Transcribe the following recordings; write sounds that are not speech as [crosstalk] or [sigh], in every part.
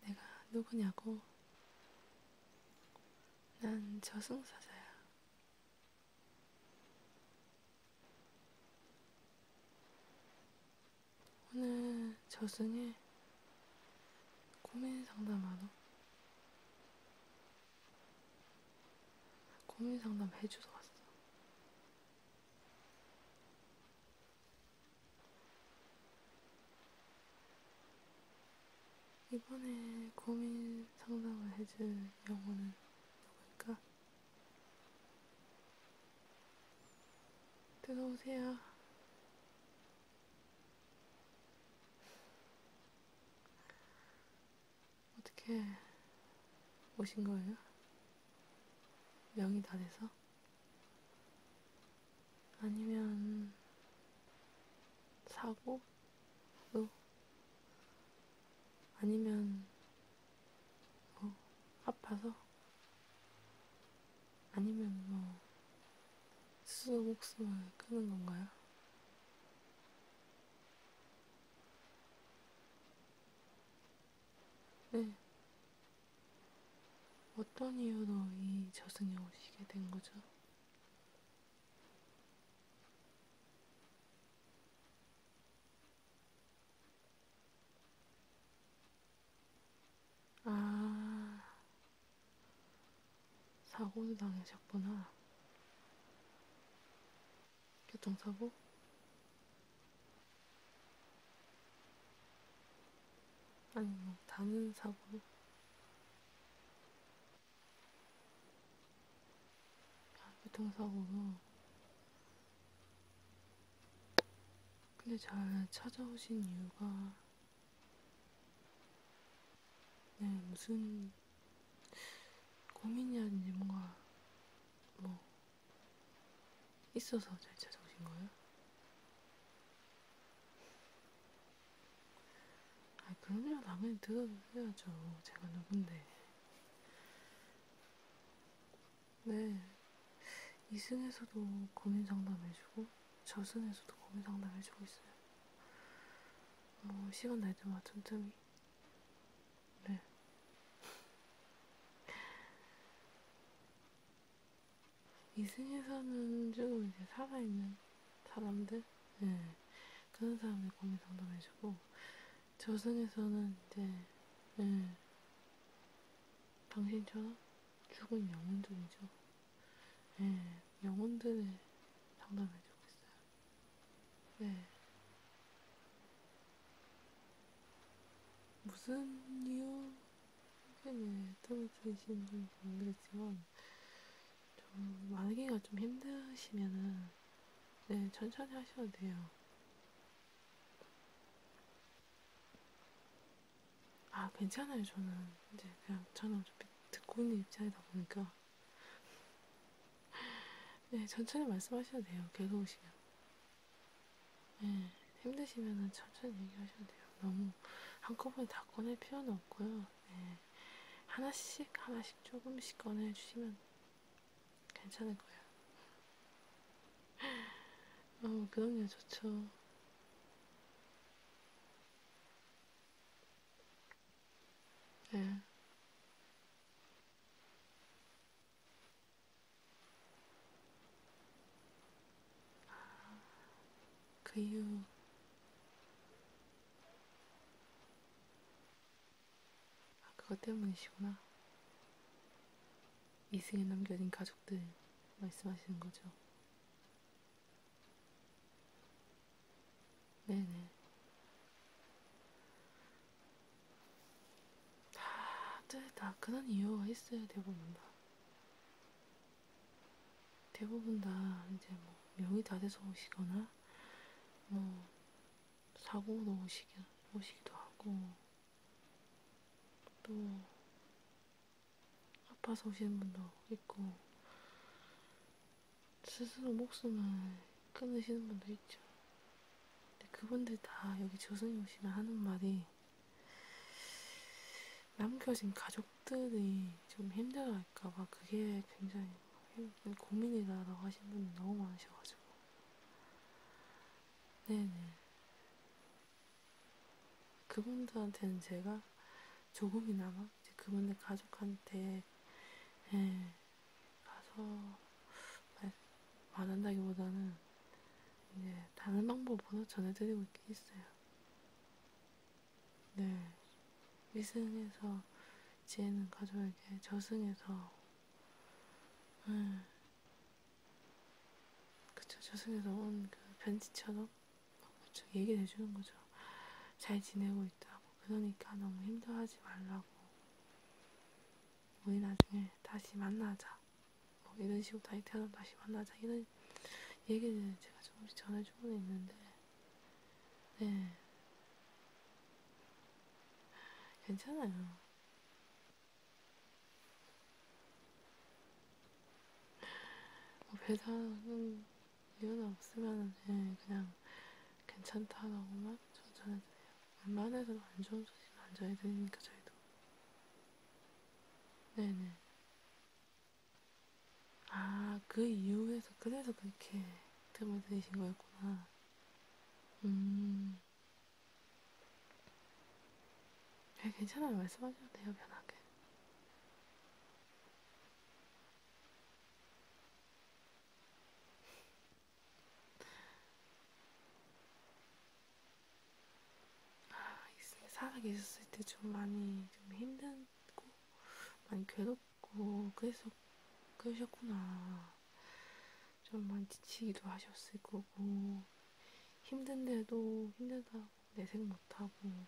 내가 누구냐고? 난 저승사자야. 오늘 저승에 고민 상담하러 고민 상담 해주러 왔어. 이번에 고민 상담을 해줄 영혼은 누굴까? 들어오세요. 어떻게 오신 거예요? 명이 다 돼서? 아니면 사고로 뭐? 아니면 뭐 아파서 아니면 뭐 스스로 목숨을 끄는 건가요? 네. 어떤 이유로 이 저승에 오시게 된 거죠? 아, 사고도 당하셨구나. 교통사고? 아니 뭐 다른 사고 아, 교통사고로 근데 잘 찾아오신 이유가 네 무슨 고민이 아닌지 뭔가 뭐 있어서 잘 찾아오신 거예요? 아, 그럼요. 당연히 들어야죠. 제가 누군데. 네. 이승에서도 고민 상담해주고, 저승에서도 고민 상담해주고 있어요. 뭐, 시간 날 때마다 틈틈이. 네. 2승에서는 좀 이제 살아있는 사람들, 네. 그런 사람들 고민 상담해주고, 저승에서는 이제, 네. 당신처럼 죽은 영혼들이죠. 네. 영혼들을 상담해주고 있어요. 네. 무슨 이유? 최근에 틈을 들으시는 분이 모르겠지만, 좀, 말기가 좀 힘드시면은, 네, 천천히 하셔도 돼요. 아, 괜찮아요, 저는. 이제, 그냥, 저는 어차피 듣고 있는 입장이다 보니까. [laughs] 네, 천천히 말씀하셔도 돼요, 괴로우시면. 네, 힘드시면은 천천히 얘기하셔도 돼요. 너무 한꺼번에 다 꺼낼 필요는 없고요. 네. 하나씩 하나씩 조금씩 꺼내주시면 괜찮을 거예요. 어, 그럼요, 좋죠. 네. 그 이후 아, 그것 때문이시구나. 이승에 남겨진 가족들 말씀하시는 거죠. 네네. 다들 다 그런 이유가 있어야 되고 뭔가 대부분 다 이제 뭐 명이 다 돼서 오시거나 뭐 사고로 오시기, 오시기도 하고 또 아파서 오시는 분도 있고 스스로 목숨을 끊으시는 분도 있죠. 근데 그분들 다 여기 저승에 오시면 하는 말이 남겨진 가족 적들이 좀 힘들어할까봐 그게 굉장히 고민이다라고 하시는 분이 너무 많으셔가지고 네네 그분들한테는 제가 조금이나마 이제 그분들 가족한테 예, 가서 말, 말한다기보다는 이제 다른 방법으로 전해드리고 있긴 있어요. 네. 위승에서 지혜는 가져야게 저승에서, 음, 네. 그쵸. 저승에서 온그 편지처럼 쭉 얘기를 해주는 거죠. 잘 지내고 있다고. 그러니까 너무 힘들어하지 말라고. 우리 나중에 다시 만나자. 뭐 이런 식으로 다시 태어나면 다시 만나자. 이런 얘기를 제가 조금씩 전해주고 있는데, 네. 괜찮아요. 뭐 배상은 이유는 없으면 네, 그냥 괜찮다라고만 전해드려요. 웬만해서는 안 좋은 소식은 안 전해드리니까 저희도. 네네. 아, 그 이후에서, 그래서 그렇게 틈을 들이신 거였구나. 음. 네, 괜찮아요. 말씀하셔도 돼요, 편하게. 아, 살아계셨을 때 좀 많이 좀 힘든 힘들고 많이 괴롭고 그래서 그러셨구나. 좀 많이 지치기도 하셨을 거고 힘든데도 힘들다고 내색 못하고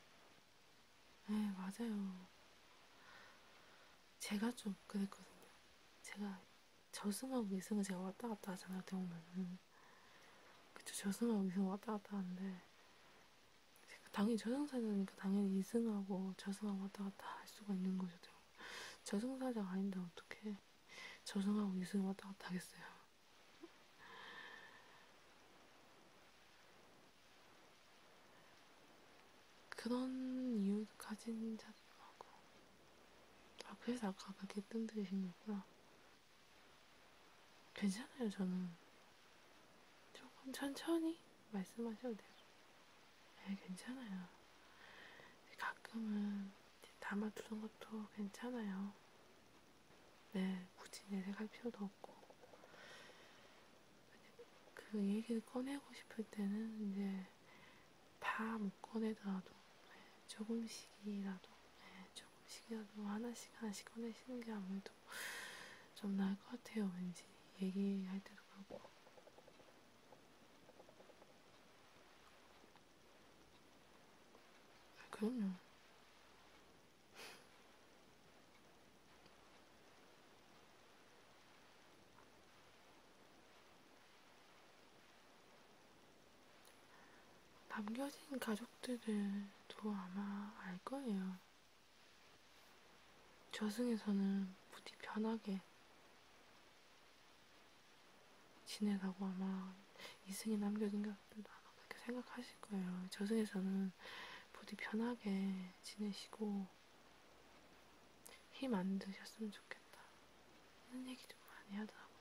네 맞아요. 제가 좀 그랬거든요. 제가 저승하고 이승을 제가 왔다 갔다 하잖아요. 대우면은 그쵸 저승하고 이승 왔다 갔다 하는데 당연히 저승사자니까 당연히 이승하고 저승하고 왔다 갔다 할 수가 있는 거죠. 저승사자가 아닌데 어떻게 저승하고 이승 왔다 갔다 하겠어요. 그런 이유 가진 자도 하고 아 그래서 아까 그렇게 뜸들이신 거구나. 괜찮아요 저는 조금 천천히 말씀하셔도 돼요. 네, 괜찮아요. 가끔은 담아두는 것도 괜찮아요. 네, 굳이 내색할 필요도 없고. 그 얘기를 꺼내고 싶을 때는 이제 다 못 꺼내더라도 네, 조금씩이라도 네, 조금씩이라도 하나씩 하나씩 꺼내시는 게 아무래도 좀 나을 것 같아요, 왠지. 얘기할 때도 그렇고. 아, 그럼요. [laughs] 남겨진 가족들도 아마 알 거예요. 저승에서는 부디 편하게 지내라고 아마 이승이 남겨진 것들도 아마 그렇게 생각하실 거예요. 저승에서는 부디 편하게 지내시고 힘 안 드셨으면 좋겠다. 이런 얘기 좀 많이 하더라고요.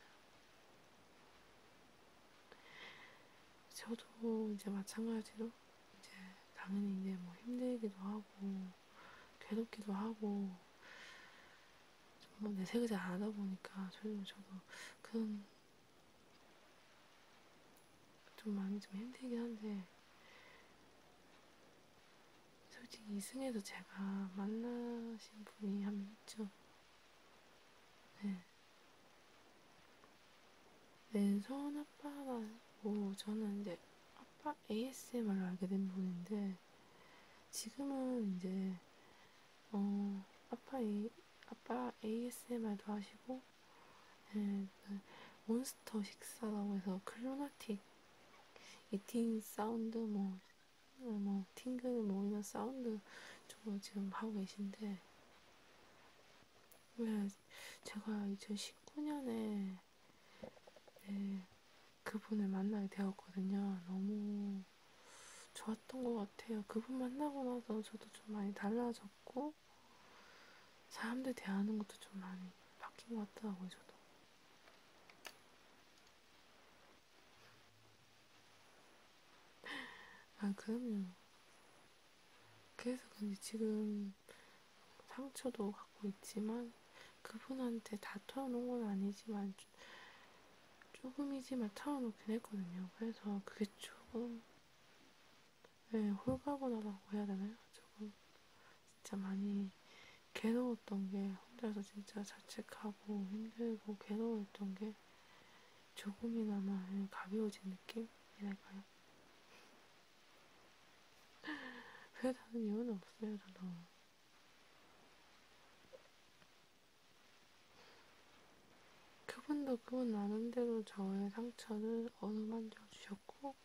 저도 이제 마찬가지로 이제 당연히 이제 뭐 힘들기도 하고 괴롭기도 하고 정말 내색을 잘안 하다 보니까 저도 저도 그런 좀 마음이 좀 힘들긴 한데 솔직히 이승에서 제가 만나신 분이 한명 있죠. 네. 왼손 아빠만 뭐 저는 이제 아빠 ASMR로 알게 된 분인데 지금은 이제 어 아빠 A 아빠 ASMR도 하시고 네, 몬스터 식사라고 해서 클로나틱 이팅 사운드 뭐뭐 팅글 뭐 이런 사운드 쪽으로 지금 하고 계신데 왜 제가 2019년에 네, 그분을 만나게 되었거든요. 너무 좋았던 것 같아요. 그분 만나고 나서 저도 좀 많이 달라졌고, 사람들 대하는 것도 좀 많이 바뀐 것 같더라고요, 저도. 아, 그럼요. 그래서 근데 지금 상처도 갖고 있지만 그분한테 다 털어놓은 건 아니지만 조금이지만 털어놓긴 했거든요. 그래서 그게 조금 네, 홀가분하다고 해야 되나요? 조금 진짜 많이 괴로웠던 게 혼자서 진짜 자책하고 힘들고 괴로웠던 게 조금이나마 가벼워진 느낌이랄까요? [laughs] 회사는 이유는 없어요, 저도. 그분도 그분 나름대로 저의 상처를 어루만져 주셨고,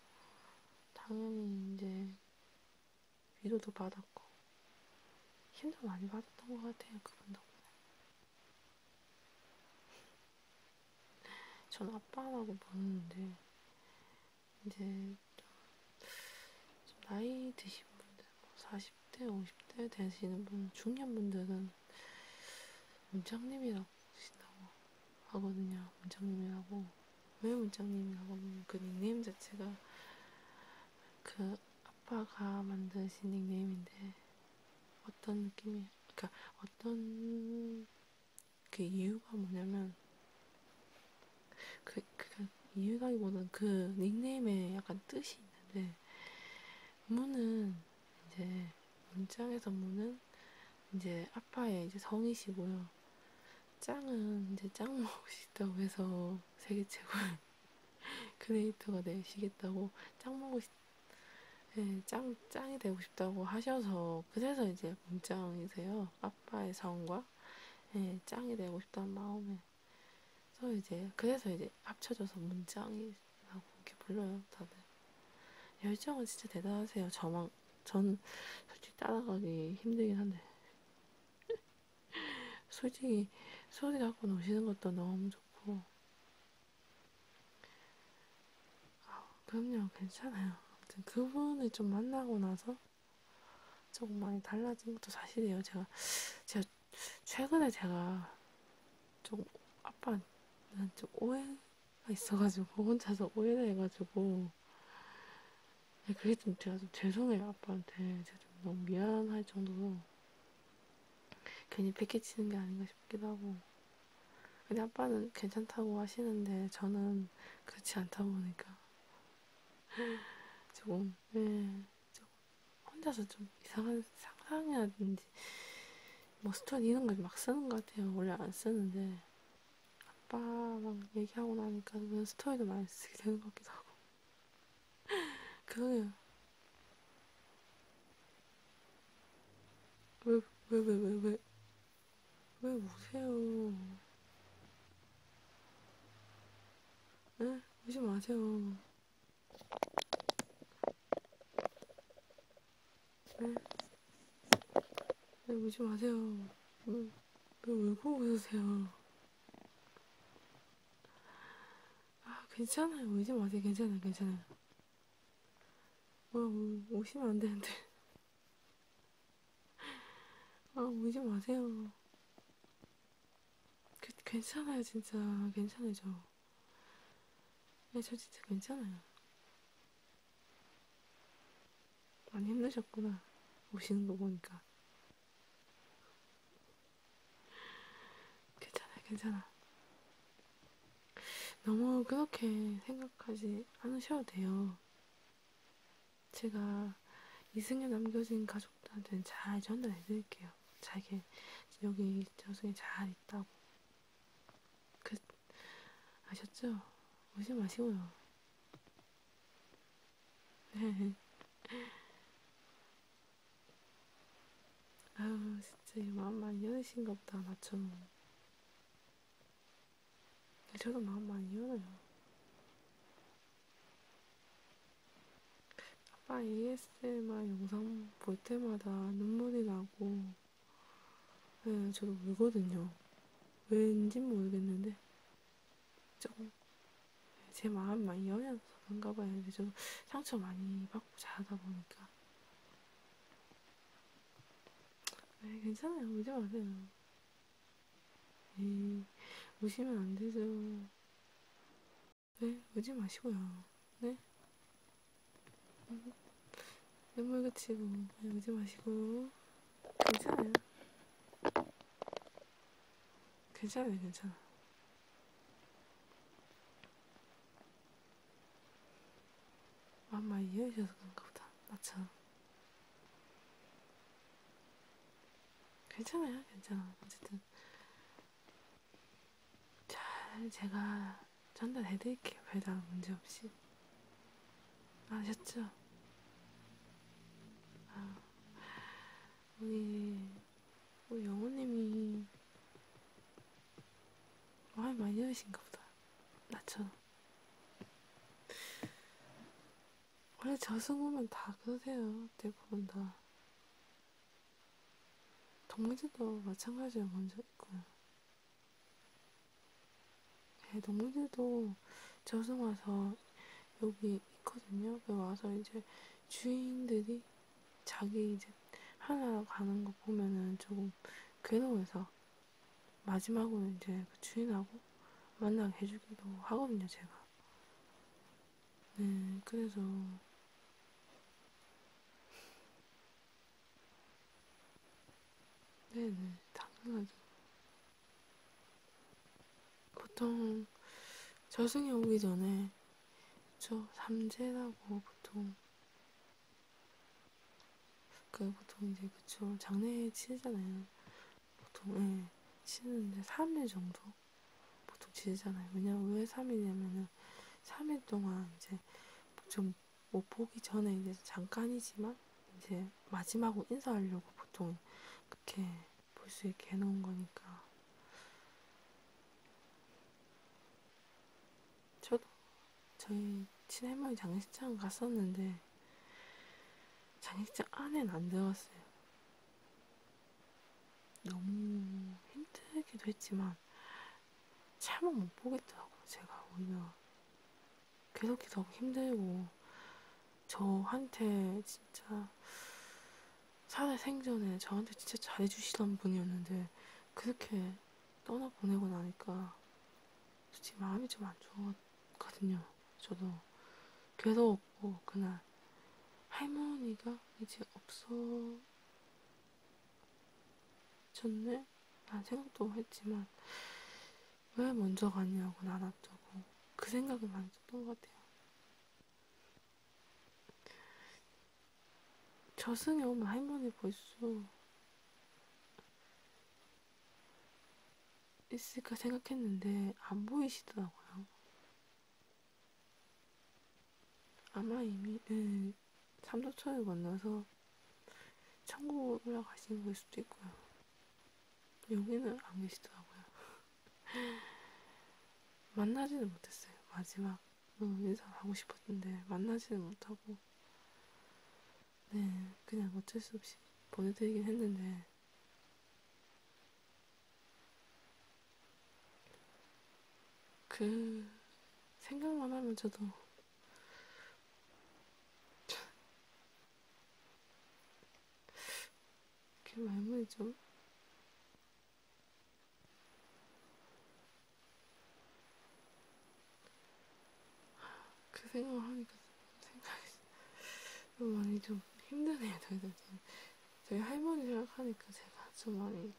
당연히 이제 위로도 받았고, 힘도 많이 받았던 것 같아요, 그분 덕분에. 전 아빠라고 부르는데 이제 좀 나이 드신 분들, 뭐 40대, 50대 되시는 분, 중년 분들은 문장님이라고 하신다고 하거든요. 문장님이라고 왜 문장님이라고 하면 그 닉네임 자체가 그 아빠가 만드신 닉네임인데 어떤 느낌이, 그러니까 어떤 그 이유가 뭐냐면 그, 그, 그 이유가기보다는 그 닉네임에 약간 뜻이 있는데 문은 이제 문장에서 문은 이제 아빠의 이제 성이시고요. 짱은 이제 짱 먹으시다고 해서 세계 최고의 [laughs] 크리에이터가 되시겠다고 짱 먹으시 네, 짱, 짱이 되고 싶다고 하셔서, 그래서 이제 문장이세요. 아빠의 성과, 네, 짱이 되고 싶다는 마음에. 그래서 이제, 그래서 이제 합쳐져서 문장이라고 이렇게 불러요, 다들. 열정은 진짜 대단하세요. 저만, 전 솔직히 따라가기 힘들긴 한데. [laughs] 솔직히, 소리 갖고 노시는 것도 너무 좋고, 아, 그럼요, 괜찮아요. 아무튼 그분을 좀 만나고 나서 조금 많이 달라진 것도 사실이에요. 제가, 제가 최근에 제가 좀 아빠는 좀 오해가 있어가지고 혼자서 오해를 해가지고 네, 그게 좀 제가 좀 죄송해요 아빠한테 제가 좀 너무 미안할 정도로 괜히 패키치는 게 아닌가 싶기도 하고 근데 아빠는 괜찮다고 하시는데 저는 그렇지 않다 보니까 조금 예, 조금 혼자서 좀 이상한 상상이라든지 뭐 스톤 이런 걸 막 쓰는 것 같아요. 원래 안 쓰는데 아빠랑 얘기하고 나니까 그냥 스토리도 많이 쓰게 되는 것 같기도 하고 그러게요. 왜, 왜, 왜, 왜, 왜, 왜 오세요? 네? 오지 마세요. 네? 네, 오지 마세요. 왜, 왜 울고 오세요? 아, 괜찮아요. 오지 마세요. 괜찮아요. 괜찮아요. 와, 뭐, 오, 오시면 안 되는데. 아, 울지 마세요. 그, 괜찮아요, 진짜. 괜찮아요, 저. 네, 저 진짜 괜찮아요. 많이 힘드셨구나. 오시는 거 보니까. 괜찮아, 괜찮아. 너무 그렇게 생각하지 않으셔도 돼요. 제가 이승에 남겨진 가족들한테는 잘 전달해드릴게요. 자기 여기 저승에 잘 있다고. 그 아셨죠? 오지 마시고요. 네. [laughs] 아유 진짜 이 마음 많이 여리신가 보다 맞죠? 저도 마음 많이 열어요. 아빠 ASMR 영상 볼 때마다 눈물이 나고, 네, 저도 울거든요. 왠지 모르겠는데, 조금 제 마음 많이 열려서 그런가 봐요. 저도 상처 많이 받고 자다 보니까. 아이 괜찮아요. 오지 마세요. 에이, 네, 오시면 안 되죠. 네, 오지 마시고요. 네? 눈물 그치고, 네, 오지 뭐, 네, 마시고. 괜찮아요. 괜찮아요, 괜찮아. 맘마 이해해주셔서 그런가 보다. 맞죠? 괜찮아요, 괜찮아. 어쨌든 잘 제가 전달해드릴게요. 별다른 문제 없이 아셨죠? 아, 우리 우리 영호님이 말 많이 하신가 보다. 나처럼. 원래 저승우면 다 그러세요. 대부분 다. 동물들도 마찬가지로 먼저 있고요. 그. 네, 동물들도 저승 와서 여기 있거든요. 여기 그 와서 이제 주인들이 자기 이제 하나로 가는 거 보면은 조금 괴로워서 마지막으로 이제 그 주인하고 만나게 해주기도 하거든요, 제가. 네, 그래서. 네네, 네, 당연하죠. 보통 저승에 오기 전에 저 삼재라고 보통 그 보통 이제 그쵸 장례 치르잖아요. 보통 예, 치는데 3일 정도 보통 지르잖아요. 왜냐면 왜 3일이냐면은 3일 동안 이제 좀뭐 보기 전에 이제 잠깐이지만 이제 마지막으로 인사하려고 보통 그렇게 볼 수 있게 해놓은 거니까. 저도 저희 친할머니 장식장 갔었는데 장식장 안엔 안 들어갔어요. 너무 힘들기도 했지만 차마 못 보겠더라고요. 제가 오히려 계속해서 너무 힘들고 저한테 진짜 살아생전에 저한테 진짜 잘해주시던 분이었는데 그렇게 떠나보내고 나니까 솔직히 마음이 좀 안 좋았던 않거든요. 저도 계속 뭐 그날 할머니가 이제 없어졌네? 난 생각도 했지만 왜 먼저 가냐고 나왔다고 그 생각이 많이 었던것 같아요. 저승에 오면 할머니 볼수 있을까 생각했는데 안 보이시더라고요. 아마 이미 네, 3도초를 만나서 천국 올라가신 걸 수도 있고요. 여기는 안 계시더라고요. [laughs] 만나지는 못했어요. 마지막 응, 인사하고 싶었는데 만나지는 못하고 네, 그냥 어쩔 수 없이 보내드리긴 했는데, 그, 생각만 하면 저도, 그 말문이 좀, 그 생각을 하니까 생각이 좀 많이 좀 힘드네요. 저희, 저희 할머니 생각하니까 제가 좀 많이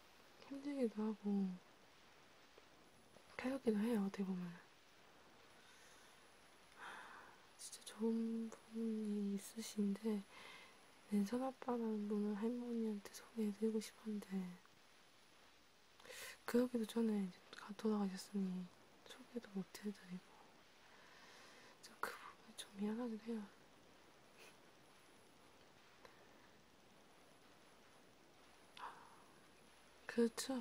힘들기도 하고 괴롭기도 해요. 어떻게 보면 진짜 좋은 분이 있으신데 낸선 네, 아빠라는 분을 할머니한테 소개해드리고 싶었는데 그러기도 전에 돌아가셨으니 소개도 못해드리고 좀그 부분이 좀 미안하긴 해요. 아, 그렇죠.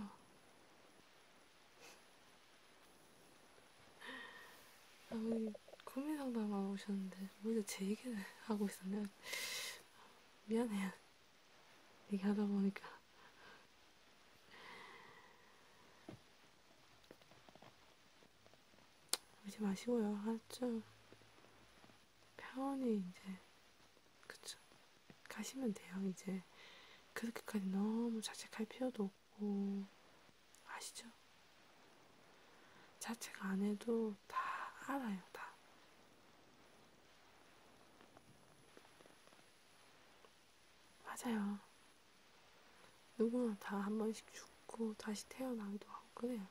아무리 고민 상담하고 오셨는데 오히려 제 얘기를 하고 있었네요. 미안해요. 얘기하다 보니까 오지 마시고요. 아주 편히 이제 그쵸 가시면 돼요. 이제 그렇게까지 너무 자책할 필요도 없고 아시죠? 자책 안 해도 다 알아요. 다. 맞아요. 누구나 다 한 번씩 죽고 다시 태어나기도 하고 그래요.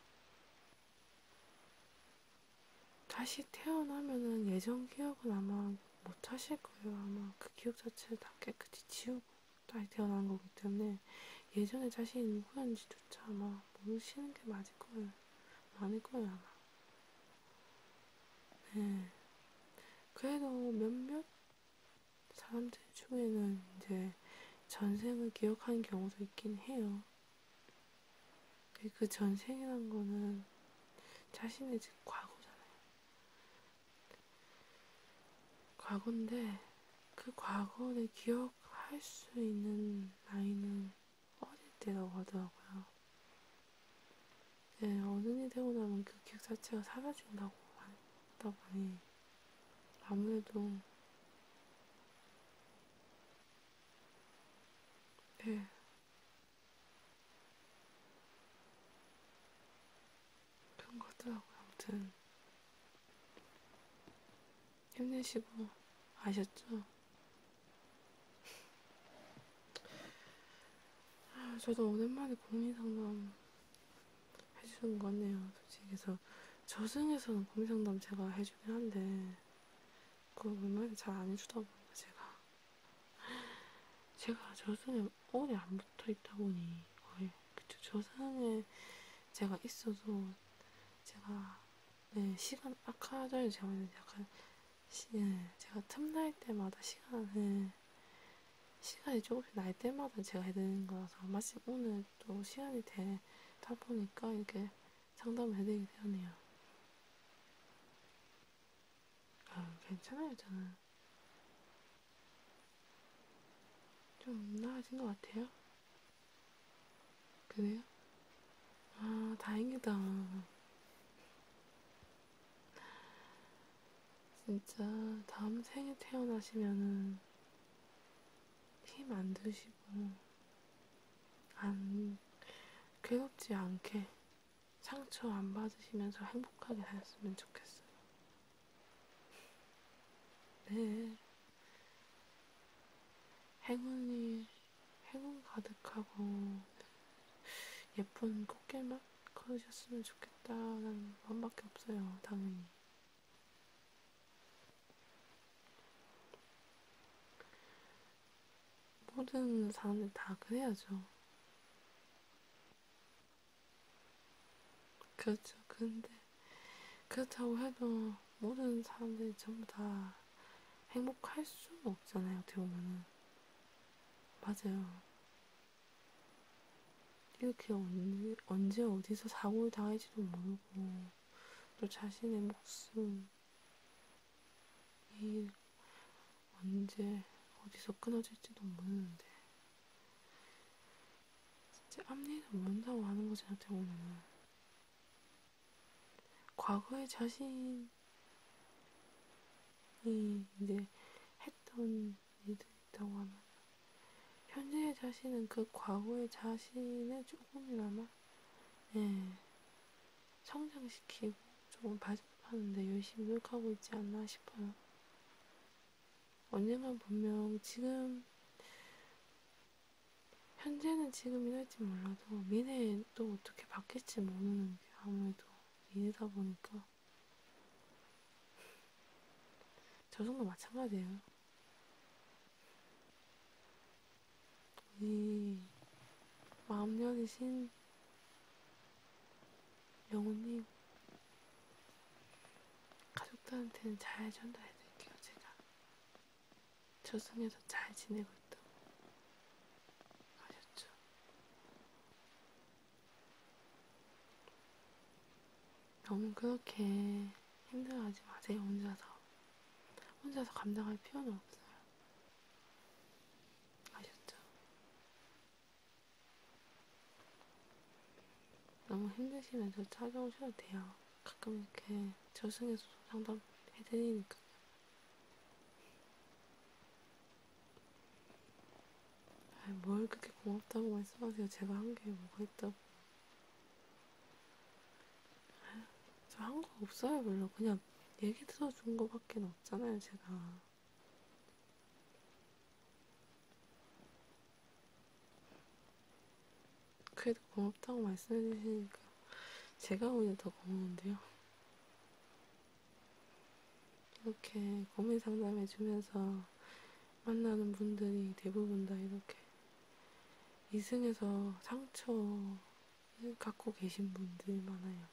다시 태어나면은 예전 기억은 아마 못 하실 거예요. 아마 그 기억 자체를 다 깨끗이 지우고 다시 태어난 거기 때문에 예전에 자신이 누구였는지조차 아마 모르시는 게 맞을 거예요. 많을 거예요, 아마. 네. 그래서 몇몇 사람들 중에는 이제 전생을 기억하는 경우도 있긴 해요. 그 전생이란 거는 자신의 즉 과거잖아요. 과거인데 그 과거를 기억할 수 있는 나이는 어릴 때라고 하더라고요. 네, 어른이 되고 나면 그 기억 자체가 사라진다고 하다 보니 아무래도 네. 그런 거더라고요. 아무튼 힘내시고 아셨죠? 아, 저도 오랜만에 고민 상담 해주는 것 같네요. 솔직히 해서 저승에서는 고민 상담 제가 해주긴 한데 그거 웬만히 잘안 해주다 보니까 제가 제가 저승에 오래 안 붙어 있다 보니 거의 그쵸 저승에 제가 있어도 제가 네, 시간 아까 전에 제가 약간 네, 제가 틈날 때마다 시간을 시간이 조금씩 날 때마다 제가 해드리는 거라서 마침 오늘 또 시간이 되다 보니까 이렇게 상담을 해드리게 되었네요. 아, 괜찮아요, 저는. 좀 나아진 것 같아요. 그래요? 아, 다행이다. 진짜 다음 생에 태어나시면은 힘 안 드시고 안 괴롭지 않게 상처 안 받으시면서 행복하게 살았으면 좋겠어요. 네. 행운이 행운 가득하고 예쁜 꽃길만 그러셨으면 좋겠다라는 마음밖에 없어요, 당연히. 모든 사람들 다 그래야죠. 그렇죠. 근데 그렇다고 해도 모든 사람들이 전부 다 행복할 수는 없잖아요. 어떻게 보면은 맞아요. 이렇게 언제, 언제 어디서 사고를 당할지도 모르고 또 자신의 목숨 이 언제 어디서 끊어질지도 모르는데 진짜 앞니를 모른다고 하는 거지 어떻게 보면 과거의 자신이 이제 했던 이들이 있다고 하면 현재의 자신은 그 과거의 자신을 조금이나마 예, 성장시키고 조금 발전하는데 열심히 노력하고 있지 않나 싶어요. 언젠간 분명 지금 현재는 지금이랄지 몰라도 미래에 또 어떻게 바뀔지 모르는 게 아무래도 일이다 보니까 저승도 마찬가지예요. 우리 마음년이신 영호님 가족들한테는 잘 전달해드릴게요. 제가 저승에서 잘 지내고 있다고 하셨죠. 너무 그렇게 힘들어하지 마세요, 혼자서. 혼자서 감당할 필요는 없어요. 아셨죠? 너무 힘드시면 저 찾아오셔도 돼요. 가끔 이렇게 저승에서 상담 해드리니까요. 뭘 그렇게 고맙다고 말씀하세요. 제가 한 게 뭐가 있다고. 저 한 거 없어요, 별로. 그냥 얘기 들어준 거밖에 없잖아요, 제가. 그래도 고맙다고 말씀해 주시니까 제가 오히려 더 고마운데요. 이렇게 고민 상담해주면서 만나는 분들이 대부분 다 이렇게 이승에서 상처 갖고 계신 분들이 많아요.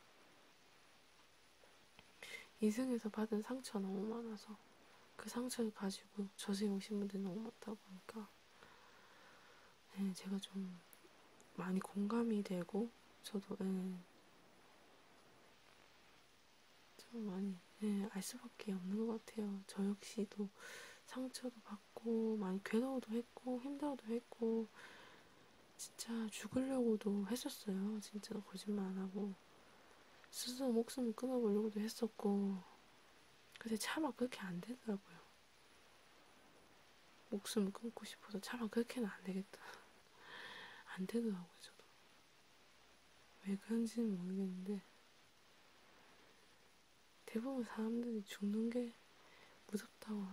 이승에서 받은 상처 너무 많아서 그 상처를 가지고 저승에 오신 분들이 너무 많다 보니까 네, 제가 좀 많이 공감이 되고 저도 네, 참 많이 네, 알 수밖에 없는 것 같아요. 저 역시도 상처도 받고 많이 괴로워도 했고 힘들어도 했고 진짜 죽으려고도 했었어요. 진짜 거짓말 안 하고 스스로 목숨을 끊어보려고도 했었고 근데 차마 그렇게 안 되더라고요. 목숨을 끊고 싶어서 차마 그렇게는 안 되겠다. 안 되더라고요. 저도 왜 그런지는 모르겠는데, 대부분 사람들이 죽는 게 무섭다고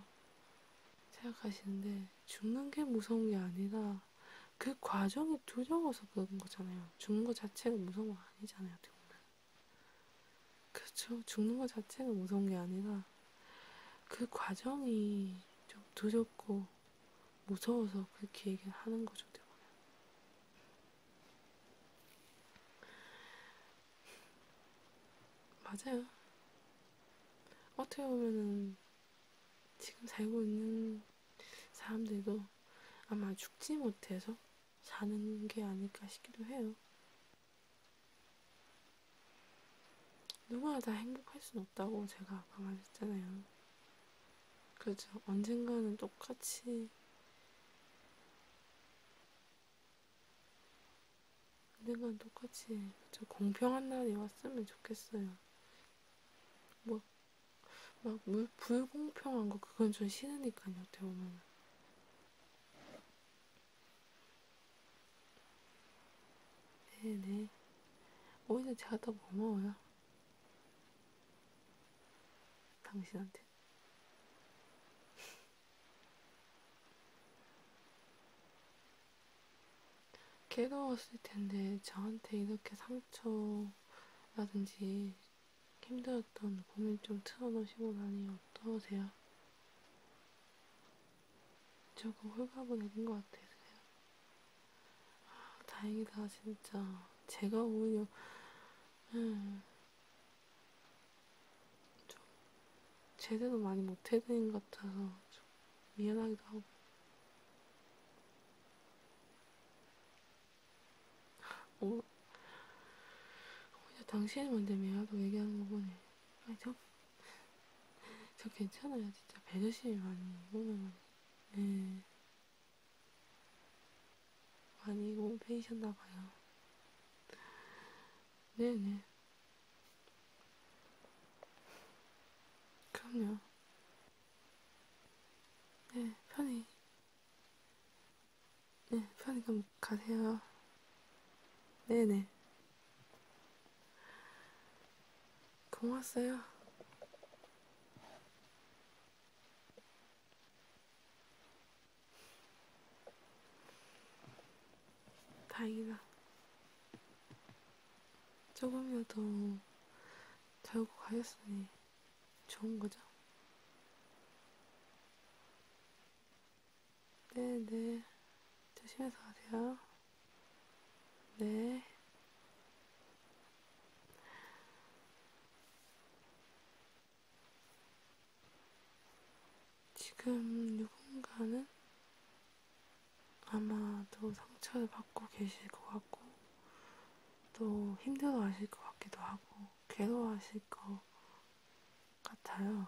생각하시는데, 죽는 게 무서운 게 아니라, 그 과정이 두려워서 그런 거잖아요. 죽는 것 자체가 무서운 거 아니잖아요, 어떻게 보면. 그렇죠. 죽는 것 자체가 무서운 게 아니라, 그 과정이 좀 두렵고, 무서워서 그렇게 얘기를 하는 거죠. 대부분. 맞아요. 어떻게 보면은 지금 살고 있는 사람들도 아마 죽지 못해서 사는 게 아닐까 싶기도 해요. 누구나 다 행복할 순 없다고 제가 아까 말했잖아요. 그죠? 언젠가는 똑같이 언젠간 똑같이 저 공평한 날이 왔으면 좋겠어요. 뭐, 막, 물, 불공평한 거, 그건 좀 싫으니까요, 어떻게 보면. 네네. 오히려 제가 더 고마워요. 당신한테. 걔가 왔을 텐데 저한테 이렇게 상처라든지 힘들었던 고민 좀 틀어놓으시고 나니 어떠세요? 조금 홀가분해진 것 같으세요? 아, 다행이다 진짜 제가 오히려 음, 좀 제대로 많이 못해드린 것 같아서 좀 미안하기도 하고 오, 어, 오히려 당신이 먼저 미안하다고 얘기하는 거 보네 아니 저, 저 괜찮아요 진짜 배려심이 많이 오면 네. 많이 몸 패이셨나봐요. 네네. 그럼요. 네, 편히. 네, 편히 좀 가세요. 네네. 고맙어요. 다행이다. 조금이라도 달고 가셨으니 좋은 거죠? 네네. 네. 조심해서 가세요. 네. 지금 누군가는 아마도 상처를 받고 계실 것 같고, 또 힘들어 하실 것 같기도 하고, 괴로워 하실 것 같아요.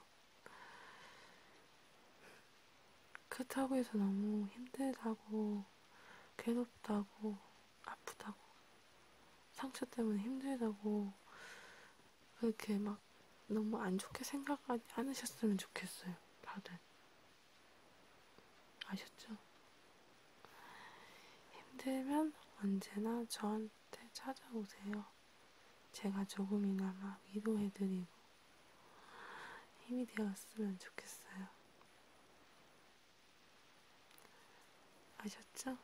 그렇다고 해서 너무 힘들다고 괴롭다고, 아프다고, 상처 때문에 힘들다고, 그렇게 막 너무 안 좋게 생각하지 않으셨으면 좋겠어요, 다들. 아셨죠? 힘들면 언제나 저한테 찾아오세요. 제가 조금이나마 위로해드리고 힘이 되었으면 좋겠어요. 아셨죠?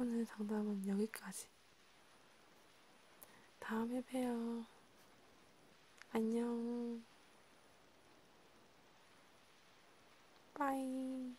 오늘 상담은 여기까지. 다음에 봬요. 안녕. 빠이.